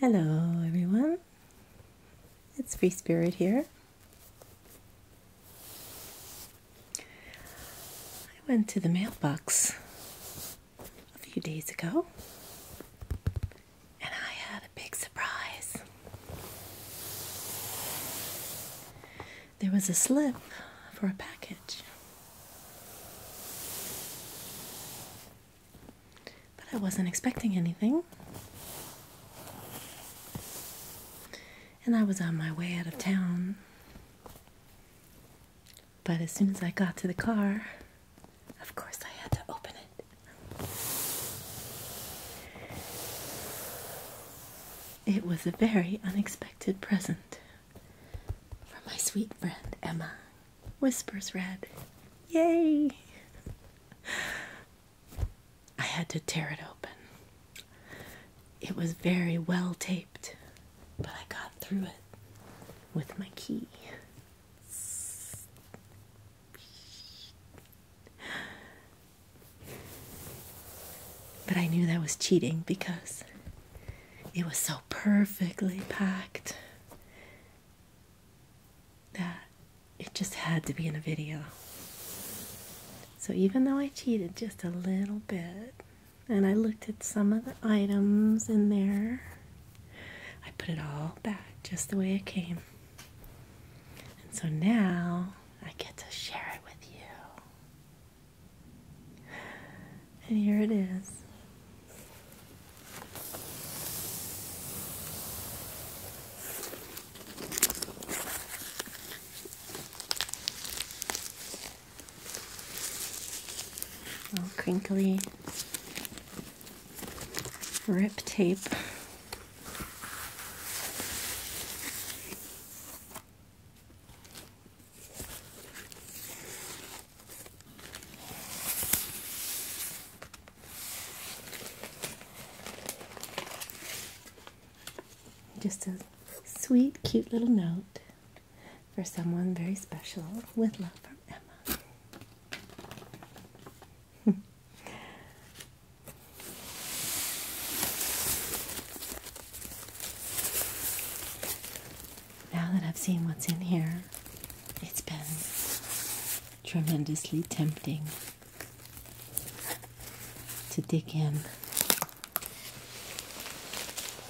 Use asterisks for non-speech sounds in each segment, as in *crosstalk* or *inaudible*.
Hello, everyone. It's Free Spirit here. I went to the mailbox a few days ago, and I had a big surprise. There was a slip for a package. But I wasn't expecting anything. And I was on my way out of town but as soon as I got to the car, of course I had to open it. It was a very unexpected present from my sweet friend Emma. Whispers Red. Yay! I had to tear it open. It was very well taped, but I got through it with my key. But I knew that was cheating because it was so perfectly packed that it just had to be in a video. So even though I cheated just a little bit, and I looked at some of the items in there, I put it all back just the way it came. And so now I get to share it with you. And here it is. All crinkly rip tape. Just a sweet, cute little note for someone very special with love from Emma. *laughs* now that I've seen what's in here, it's been tremendously tempting to dig in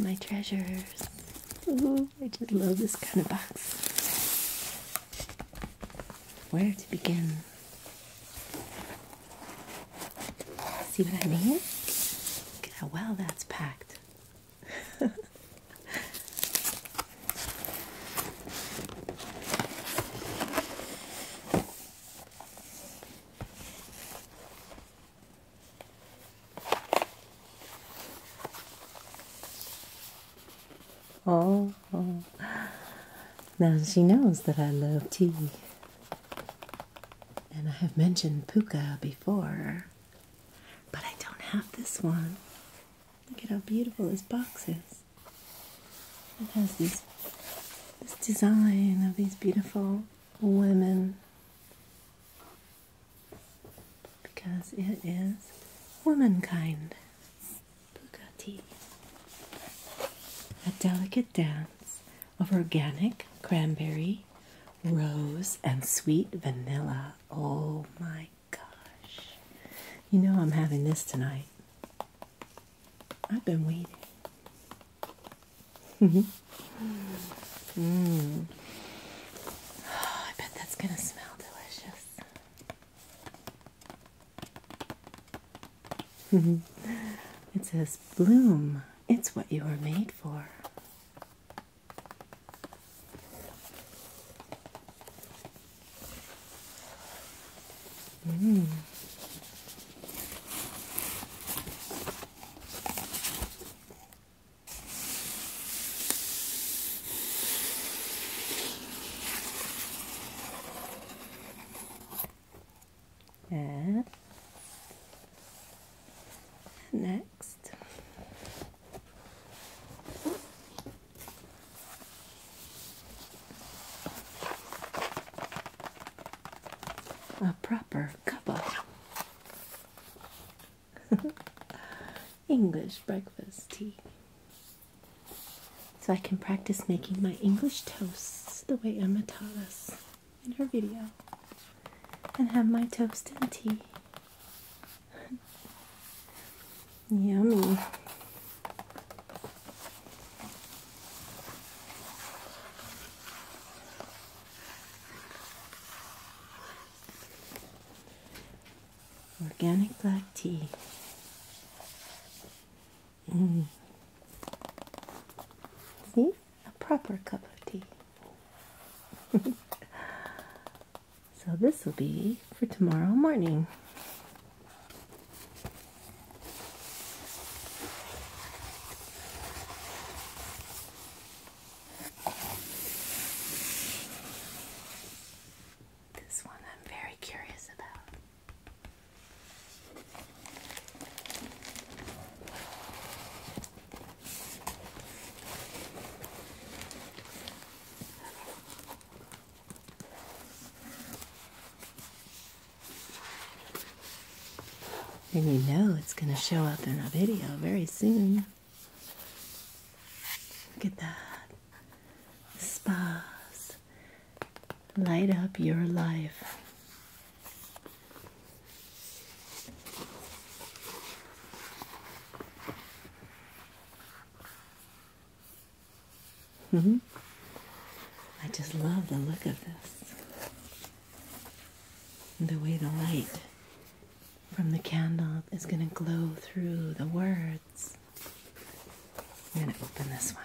My treasures. Ooh, mm-hmm. I just love this kind of box. Where to begin? See what I mean? Look at how well that's packed. *laughs* Oh, now she knows that I love tea. And I have mentioned puka before, but I don't have this one. Look at how beautiful this box is. It has this design of these beautiful women because it is womankind. A delicate dance of organic cranberry, rose, and sweet vanilla. Oh my gosh. You know I'm having this tonight. I've been waiting. mm. *laughs* oh, I bet that's going to smell delicious. *laughs* it says, Bloom, it's what you were made for. Mm. Yeah. Next a proper cuppa. *laughs* English breakfast tea. So I can practice making my English toasts the way Emma taught us in her video and have my toast and tea. *laughs* Yummy. Organic black tea. Mm. See? A proper cup of tea. *laughs* so this will be for tomorrow morning. This one I'm very curious about. And you know it's going to show up in a video very soon. Look at that. Spas. Light up your life. -hmm. I just love the look of this the way the light from the candle is going to glow through the words. I'm going to open this one.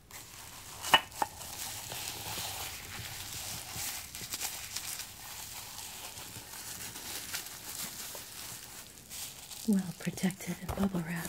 Well protected in bubble wrap.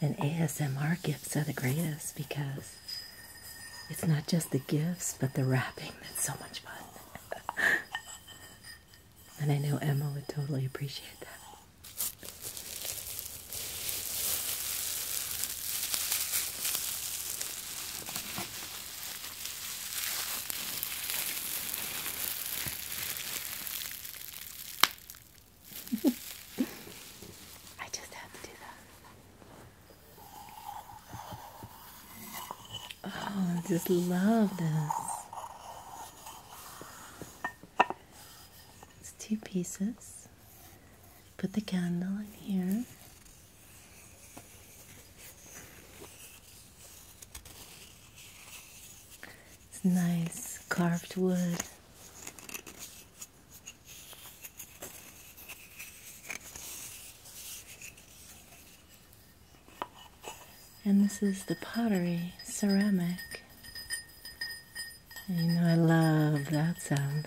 And ASMR gifts are the greatest because it's not just the gifts, but the wrapping that's so much fun. *laughs* and I know Emma would totally appreciate that. I just had to do that. Oh, I just love this. It's two pieces. Put the candle in here. It's nice carved wood. And this is the pottery ceramic. you know, I love that sound.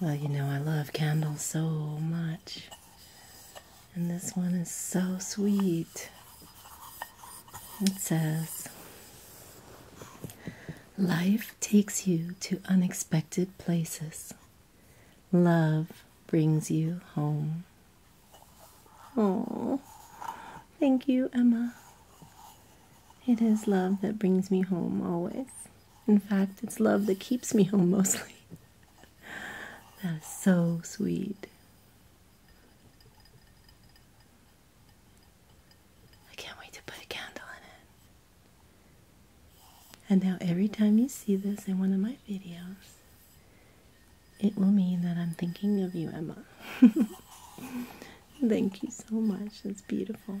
Well, you know, I love candles so much. And this one is so sweet. It says, Life takes you to unexpected places. Love brings you home. Oh, thank you, Emma. It is love that brings me home always. In fact, it's love that keeps me home mostly. that is so sweet. I can't wait to put a candle in it. And now, every time you see this in one of my videos, it will mean that I'm thinking of you, Emma. *laughs* Thank you so much. It's beautiful.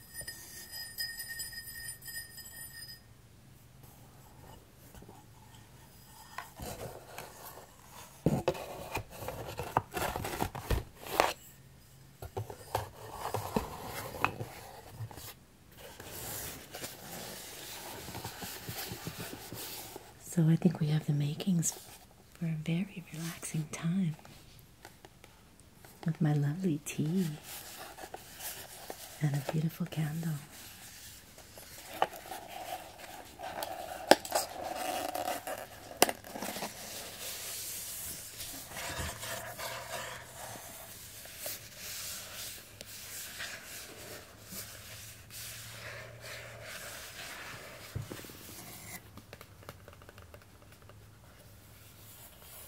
So I think we have the makings for a very relaxing time with my lovely tea and a beautiful candle.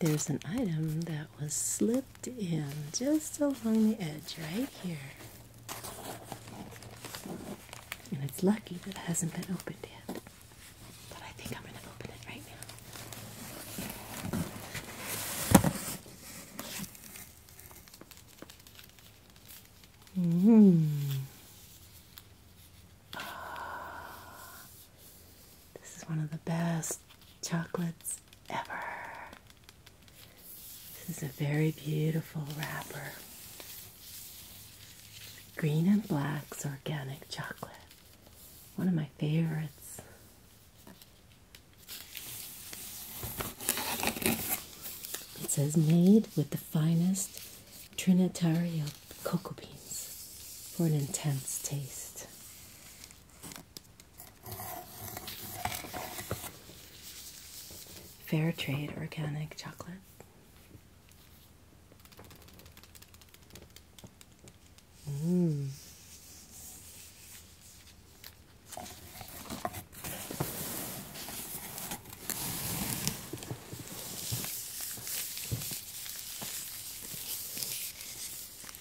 there's an item that was slipped in just along the edge right here. And it's lucky that it hasn't been opened yet. But I think I'm going to open it right now. Mm. This is one of the best chocolates ever. This is a very beautiful wrapper. Green and Black's organic chocolate. One of my favorites. It says made with the finest Trinitario cocoa beans for an intense taste. Fair trade organic chocolate. Mm.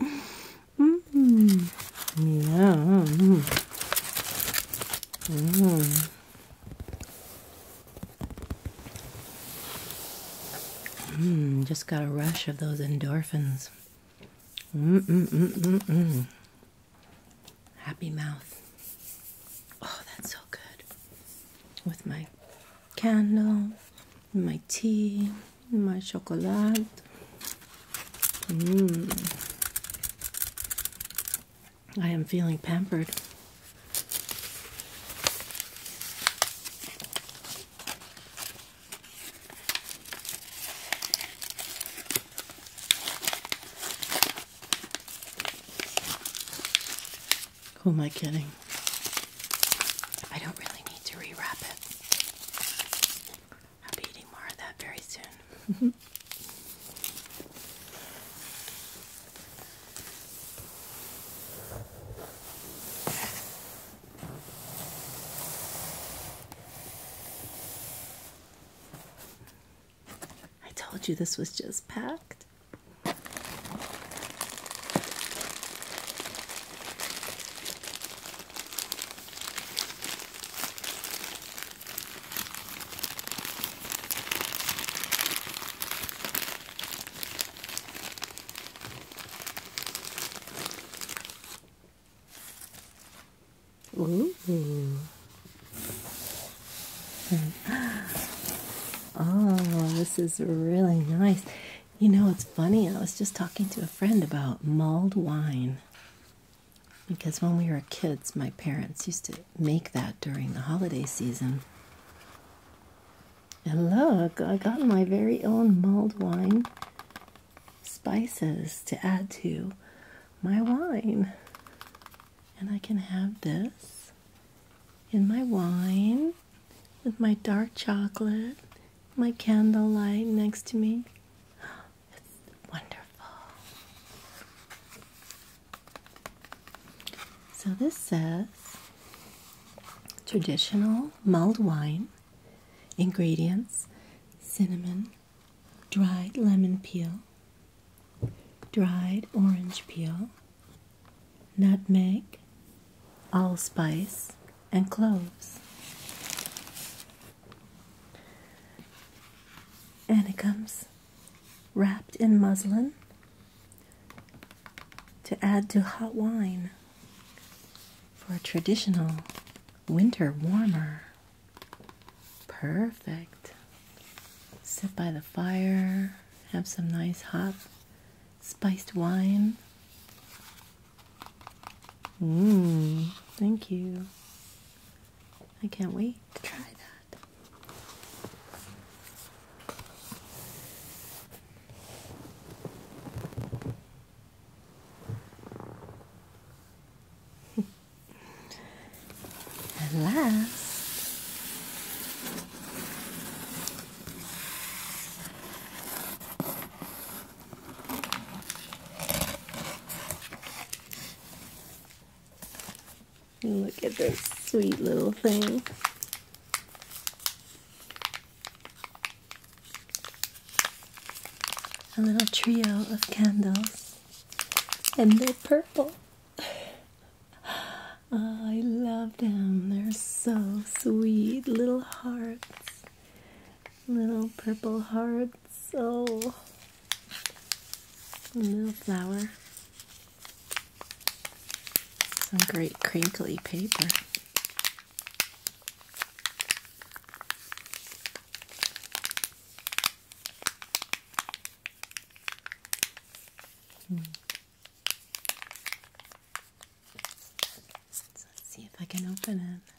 -hmm. Yeah. Mm. just got a rush of those endorphins. Mm -mm -mm -mm Happy mouth. Oh, that's so good. With my candle my tea, my chocolate. Mm. I am feeling pampered. Who am I kidding? I don't really need to rewrap it. I'll be eating more of that very soon. I told you this was just packed. Ooh. Oh, *laughs* this is really nice. You know, it's funny. I was just talking to a friend about mulled wine because when we were kids, my parents used to make that during the holiday season. And look, I got my very own mulled wine spices to add to my wine. And I can have this in my wine with my dark chocolate my candle light next to me. *gasps* It's wonderful. So this says traditional mulled wine, ingredients, cinnamon, dried lemon peel, dried orange peel, nutmeg, allspice, and cloves. And it comes wrapped in muslin to add to hot wine for a traditional winter warmer. Perfect. Sit by the fire, have some nice hot spiced wine. Mmm, thank you. I can't wait to try that. and *laughs* last. Look at this sweet little thing. A little trio of candles, and they're purple. *sighs* I love them. They're so sweet. Little hearts. Little purple heart, so oh. little flower. Some great crinkly paper. Hmm. let's see if I can open it.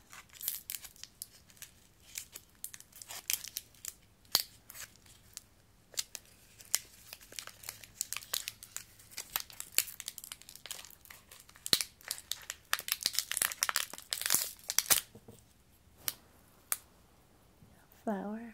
Flower.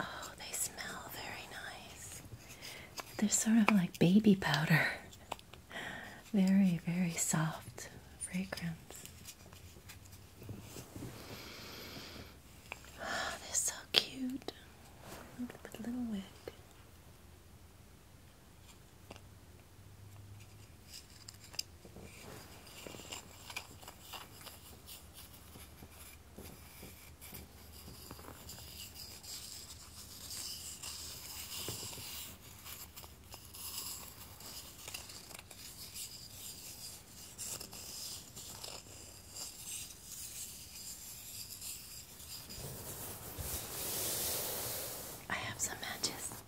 Oh, they smell very nice. They're sort of like baby powder. Very, very soft fragrance. Ah, they're so cute with a little wig. I have some matches.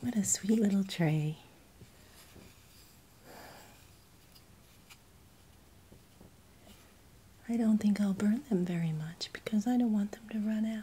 What a sweet little tray. I don't think I'll burn them very much because I don't want them to run out.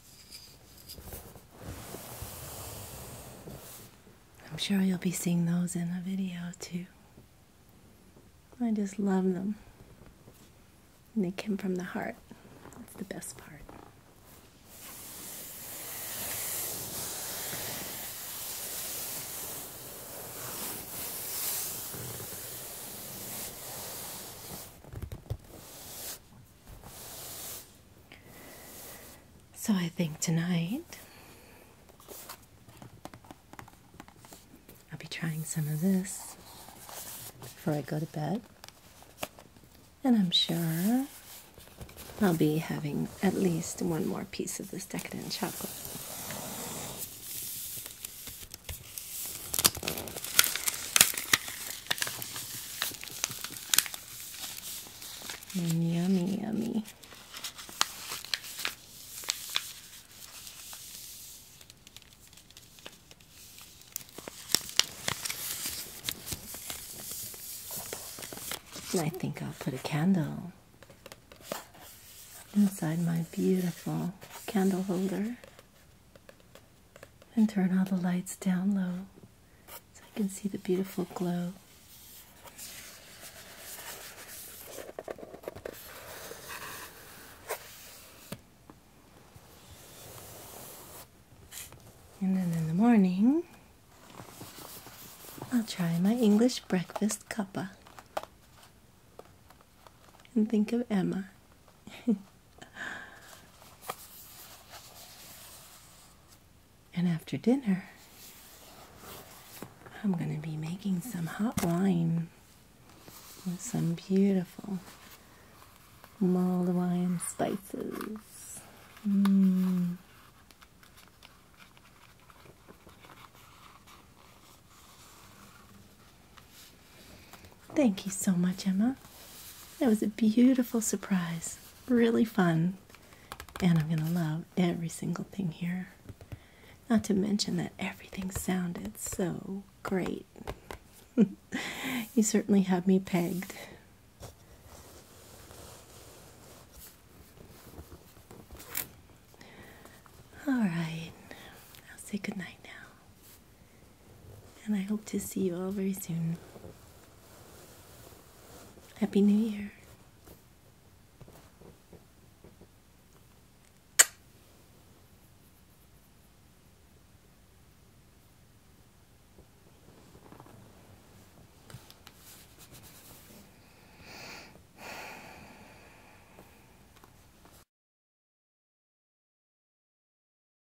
I'm sure you'll be seeing those in a video too. I just love them. And they come from the heart. That's the best part. So I think tonight I'll be trying some of this before I go to bed. And I'm sure I'll be having at least one more piece of this decadent chocolate. Mm, yummy, yummy. I think I'll put a candle inside my beautiful candle holder and turn all the lights down low so I can see the beautiful glow. And then in the morning, I'll try my English breakfast cuppa and think of Emma. *laughs* And after dinner, I'm going to be making some hot wine with some beautiful mulled wine spices. Mm. Thank you so much, Emma. That was a beautiful surprise. Really fun. And I'm going to love every single thing here. Not to mention that everything sounded so great. *laughs* you certainly had me pegged. All right, I'll say goodnight now and I hope to see you all very soon. Happy New Year.